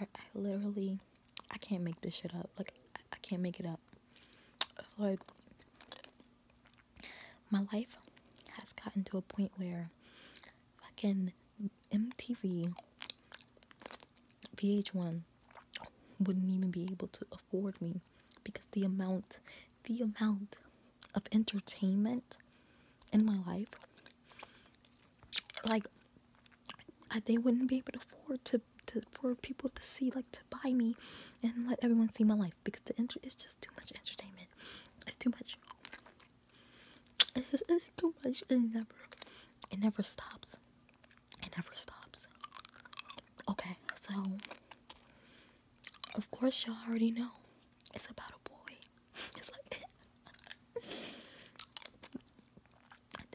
I, literally I can't make this shit up. Like I can't make it up. Like my life has gotten to a point where fucking MTV VH1 wouldn't even be able to afford me because the amount the amount of entertainment in my life like they wouldn't be able to afford to, for people to see like to buy me and let everyone see my life because the enter is just too much entertainment it's too much it's just too much it never it never stops it never stops okay so of course y'all already know it's about a boy. this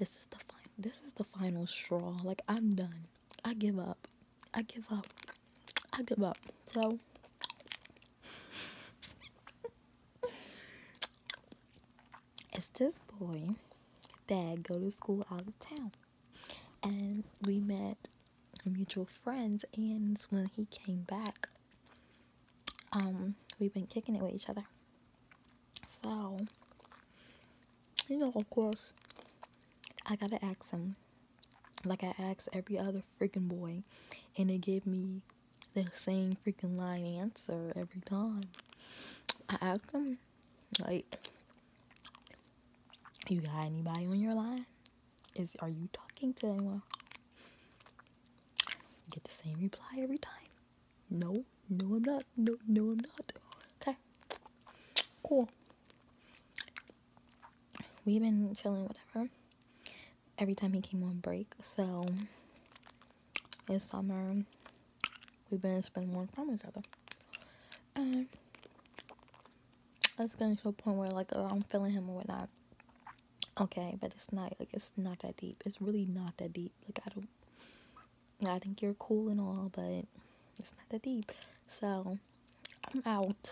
is the final. This is the final straw. Like I'm done. I give up. I give up. I give up. So. it's this boy that go to school out of town and we met mutual friends and when he came back um we've been kicking it with each other so you know of course i gotta ask him like i asked every other freaking boy and they give me the same freaking line answer every time i ask him like you got anybody on your line? Is are you talking to anyone? You get the same reply every time. No, no, I'm not. No, no, I'm not. Okay, cool. We've been chilling, whatever. Every time he came on break, so it's summer. We've been spending more time with each other. And um, it's getting to a point where like I'm feeling him or whatnot. Okay, but it's not like it's not that deep. It's really not that deep. Like I don't I think you're cool and all, but it's not that deep. So I'm out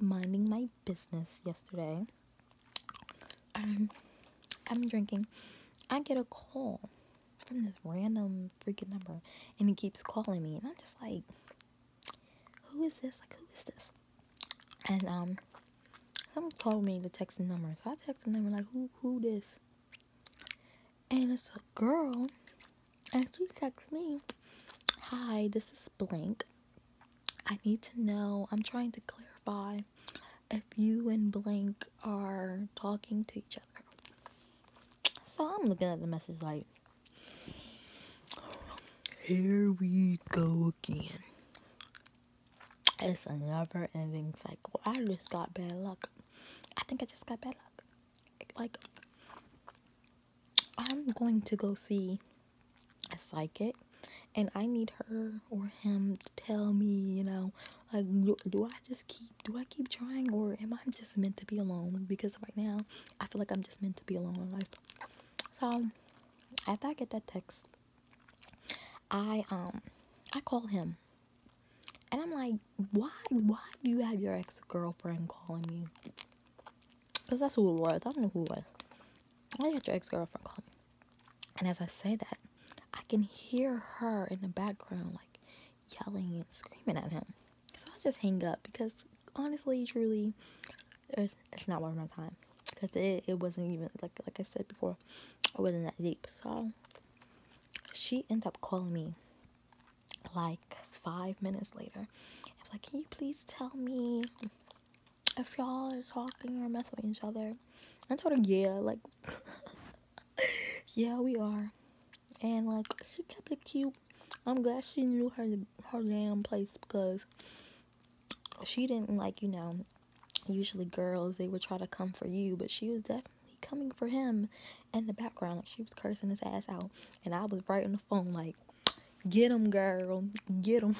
minding my business yesterday. Um I'm drinking. I get a call from this random freaking number and he keeps calling me and I'm just like who is this? Like who is this? And um someone called me the text number. So I text the number like who who this? And it's a girl and she texts me, Hi, this is blank. I need to know, I'm trying to clarify if you and blank are talking to each other. So I'm looking at the message like, here we go again. It's a never ending cycle. I just got bad luck. I think I just got bad luck. Like, I'm going to go see a psychic and I need her or him to tell me, you know, like, do I just keep do I keep trying, or am I just meant to be alone? Because right now, I feel like I'm just meant to be alone in life. So, after I get that text, I um I call him, and I'm like, why why do you have your ex girlfriend calling you? Cause that's who it was. I don't know who it was. Why you had your ex girlfriend call me? And as I say that, I can hear her in the background, like yelling and screaming at him. So I just hang up because honestly, truly, it's not worth my time. Because it, wasn't even, like, like I said before, it wasn't that deep. So she ended up calling me like five minutes later. I was like, can you please tell me if y'all are talking or messing with each other? I told her, yeah, like yeah, we are. And like she kept it cute. I'm glad she knew her her damn place because she didn't like you know. Usually girls they would try to come for you, but she was definitely coming for him in the background. Like she was cursing his ass out, and I was right on the phone like, "Get him, girl, get him."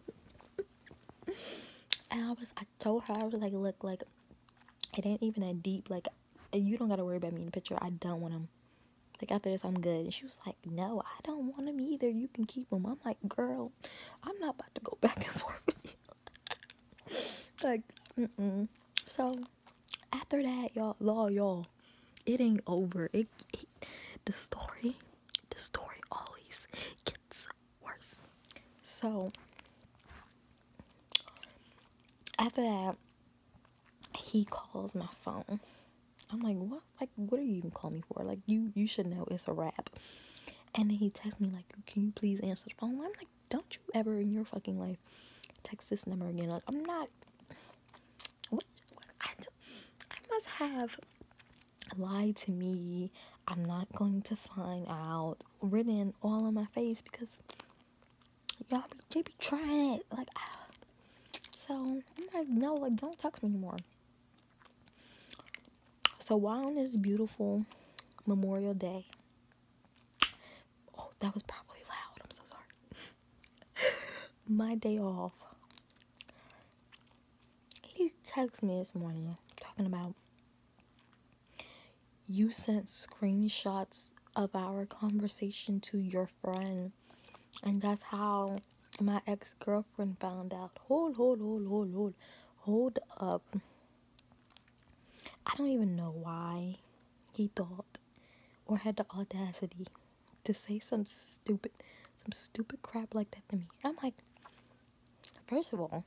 I was, I told her, I was like, look, like, it ain't even that deep. Like, you don't gotta worry about me in the picture. I don't want them. Like, after this, I'm good. And she was like, no, I don't want them either. You can keep them. I'm like, girl, I'm not about to go back and forth with you. like, mm-mm. So, after that, y'all, law, y'all, it ain't over. it the story the story always gets worse. So after that, he calls my phone. I'm like, what? Like, what are you even calling me for? Like, you you should know it's a wrap. And then he texts me like, can you please answer the phone? I'm like, don't you ever in your fucking life text this number again? Like, I'm not. What? what I must have lie to me i'm not going to find out written all on my face because y'all be, trying it like so i'm like no like don't talk to me anymore so while on this beautiful memorial day oh that was probably loud i'm so sorry my day off he texted me this morning talking about you sent screenshots of our conversation to your friend, and that's how my ex girlfriend found out. Hold, hold, hold, hold, hold, hold up. I don't even know why he thought or had the audacity to say some stupid, some stupid crap like that to me. I'm like, first of all,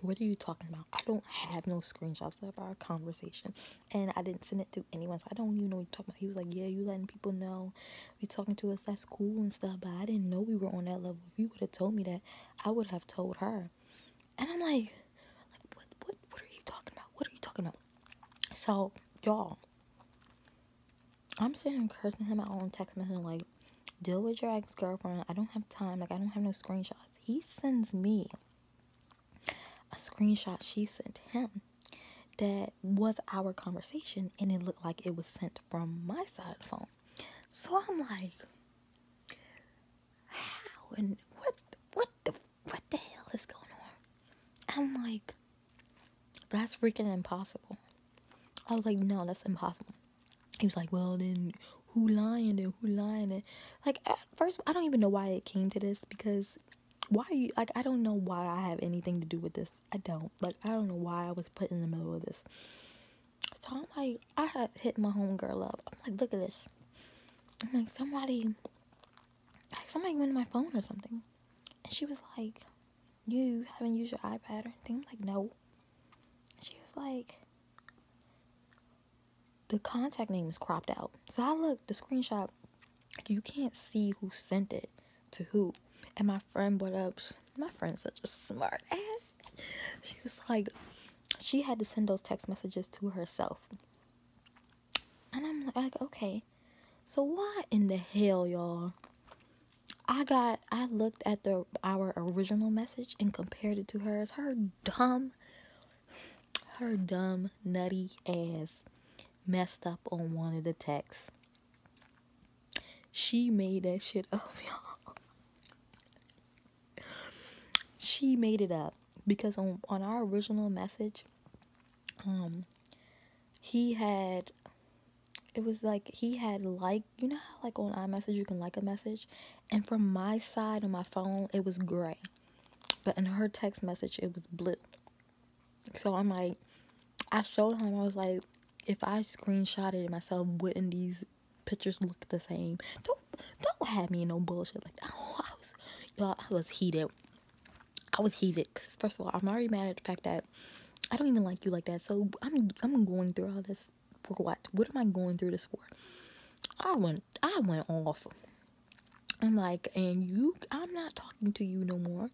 what are you talking about? I don't have no screenshots of our conversation, and I didn't send it to anyone. So I don't even know what you're talking about. He was like, "Yeah, you letting people know you talking to us. That's cool and stuff." But I didn't know we were on that level. If you would have told me that, I would have told her. And I'm like, like, what, what, what are you talking about? What are you talking about? So y'all, I'm sitting cursing him out on text message like, deal with your ex girlfriend. I don't have time. Like I don't have no screenshots. He sends me a screenshot she sent him that was our conversation and it looked like it was sent from my side phone. So I'm like, how and what what the what the hell is going on? I'm like, that's freaking impossible. I was like, no, that's impossible. He was like, well, then who lying and who lying? And like, at first, I don't even know why it came to this because why you like I don't know why I have anything to do with this. I don't like I don't know why I was put in the middle of this. So I'm like I had hit my home girl up. I'm like, look at this. I'm like somebody like somebody went to my phone or something. And she was like, You haven't used your iPad or anything? I'm like, No. she was like, The contact name is cropped out. So I looked, the screenshot, you can't see who sent it to who. And my friend brought up, my friend's such a smart ass. She was like, she had to send those text messages to herself. And I'm like, okay, so why in the hell, y'all? I got, I looked at the our original message and compared it to hers. Her dumb, her dumb, nutty ass messed up on one of the texts. She made that shit up, y'all. she made it up because on on our original message um he had it was like he had like you know like on iMessage you can like a message and from my side on my phone it was gray but in her text message it was blue so I'm like I showed him I was like if I screenshotted myself wouldn't these pictures look the same. Don't don't have me in no bullshit like that. Oh, I was, y'all, I was heated. I was heated because first of all, I'm already mad at the fact that I don't even like you like that. So I'm I'm going through all this for what? What am I going through this for? I went I went off. I'm like, and you, I'm not talking to you no more.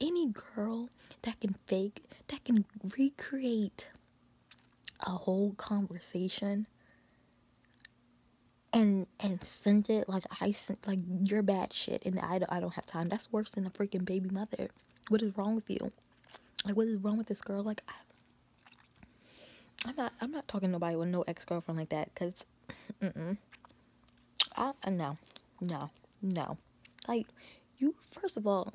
Any girl that can fake, that can recreate a whole conversation and and sent it like I sent like your bad shit and I don't, I don't have time. That's worse than a freaking baby mother. What is wrong with you? Like what is wrong with this girl? Like I, am not I'm not talking nobody with no ex girlfriend like that because mm mm I no no no like you first of all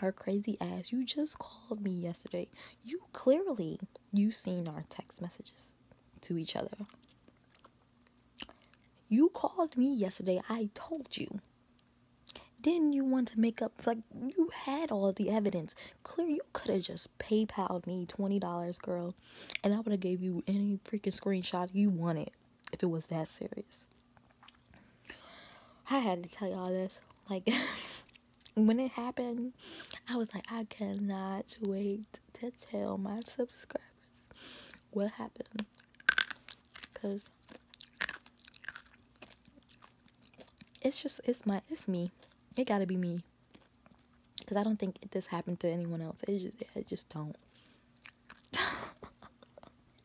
her crazy ass you just called me yesterday you clearly you seen our text messages to each other you called me yesterday i told you then you want to make up like you had all the evidence clear you could have just paypal'd me $20 girl and i would have gave you any freaking screenshot you wanted if it was that serious I had to tell y'all this. Like, when it happened, I was like, I cannot wait to tell my subscribers what happened. Because it's just, it's my, it's me. It gotta be me. Because I don't think this happened to anyone else. It just, I just don't.